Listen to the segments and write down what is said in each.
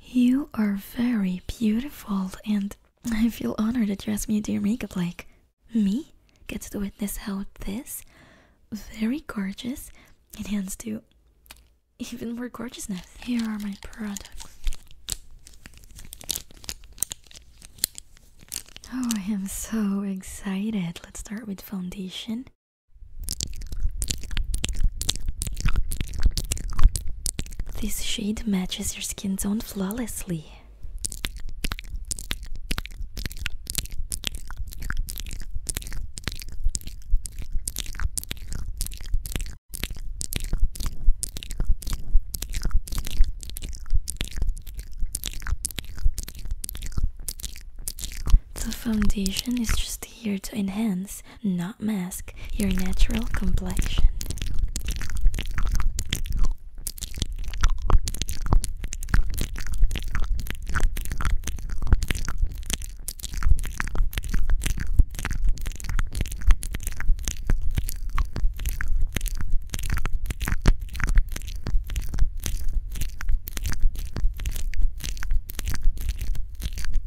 You are very beautiful, and I feel honored that you asked me to do your makeup like me get to witness how this very gorgeous enhanced to even more gorgeousness. Here are my products. Oh, I am so excited. Let's start with foundation. This shade matches your skin tone flawlessly. The foundation is just here to enhance, not mask, your natural complexion.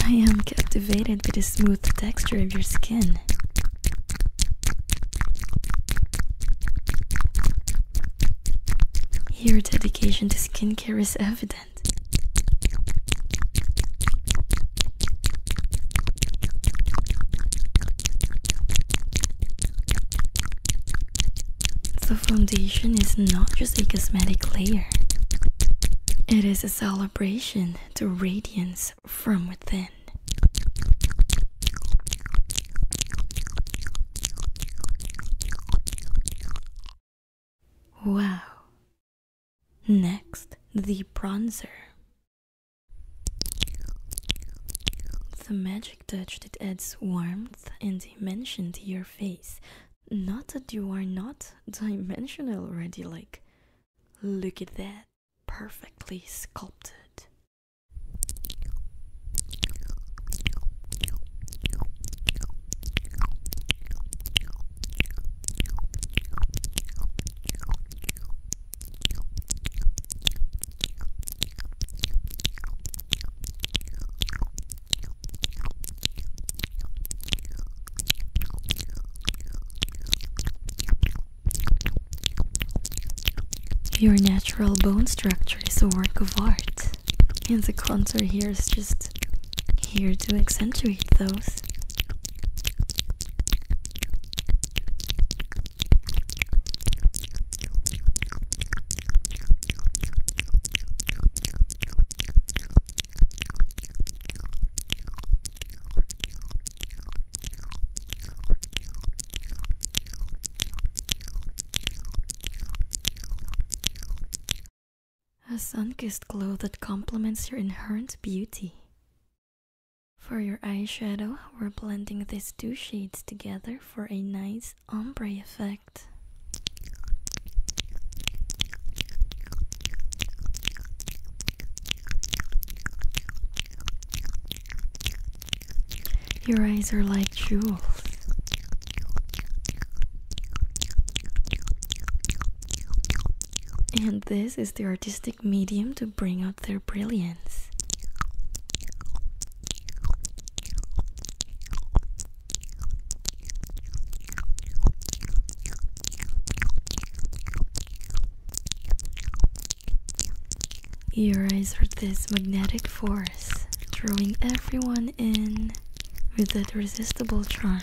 I am captivated by the smooth texture of your skin. Your dedication to skincare is evident. The foundation is not just a cosmetic layer, it is a celebration to radiance from within. Wow. Next, the bronzer. The magic touch that adds warmth and dimension to your face. Not that you are not dimensional already, like, look at that. Perfectly sculpted. Your natural bone structure is a work of art, and the contour here is just here to accentuate those. A sun-kissed glow that complements your inherent beauty. For your eyeshadow, we're blending these two shades together for a nice ombre effect. Your eyes are like jewels. And this the artistic medium to bring out their brilliance. Your eyes are this magnetic force, drawing everyone in with that irresistible charm.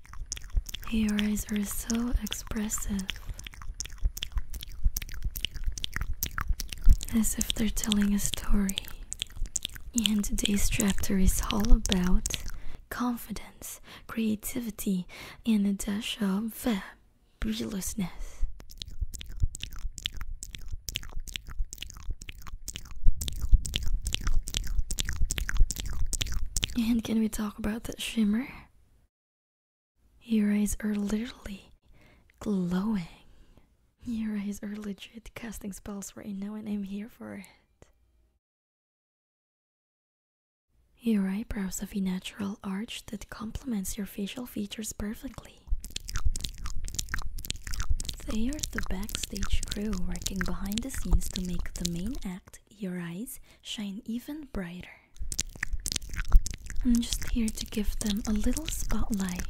Your eyes are so expressive. As if they're telling a story. And today's chapter is all about confidence, creativity, and a dash of fabulousness. And can we talk about that shimmer? Your eyes are literally glowing. Your eyes are legit casting spells right now, and I'm here for it. Your eyebrows have a natural arch that complements your facial features perfectly. They are the backstage crew working behind the scenes to make the main act your eyes shine even brighter. I'm just here to give them a little spotlight.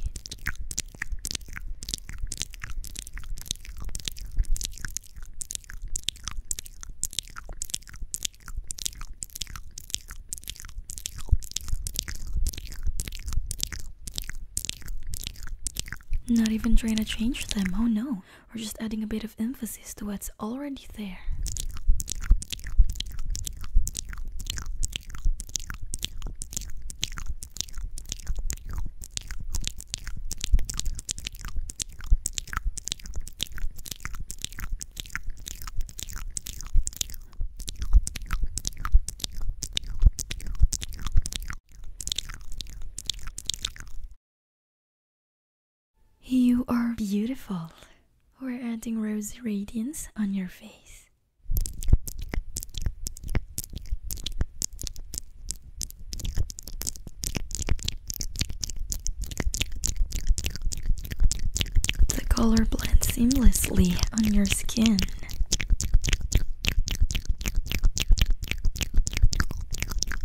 Not even trying to change them, oh no. We're just adding a bit of emphasis to what's already there. You are beautiful. We're adding rosy radiance on your face. The color blends seamlessly on your skin.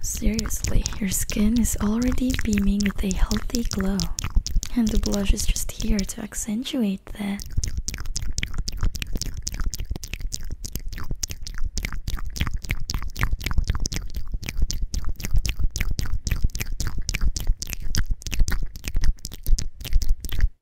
Seriously, your skin is already beaming with a healthy glow, and the blush is just here to accentuate that.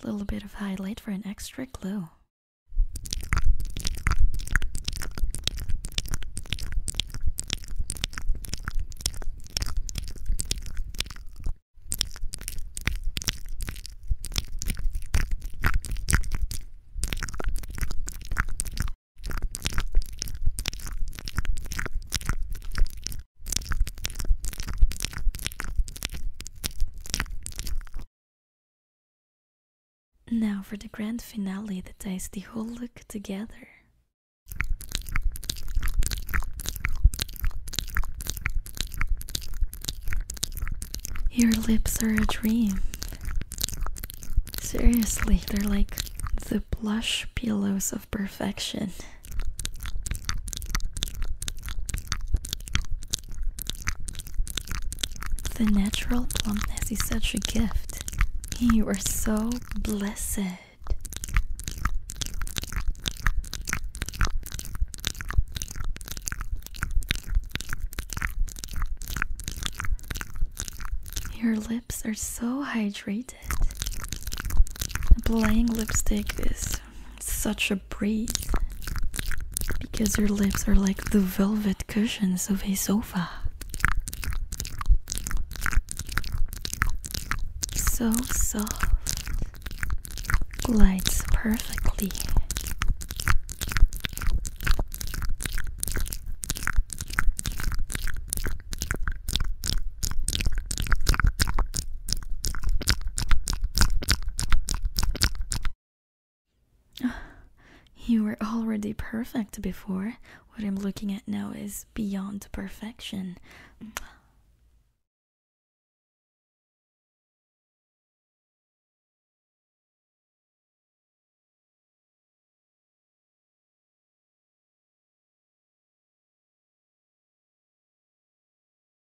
A little bit of highlight for an extra glow. Now for the grand finale that ties the whole look together. Your lips are a dream. Seriously, they're like the blush pillows of perfection. The natural plumpness is such a gift. You are so blessed. Your lips are so hydrated. Applying lipstick is such a breeze because your lips are like the velvet cushions of a sofa. So soft, glides perfectly. You were already perfect before. What I'm looking at now is beyond perfection.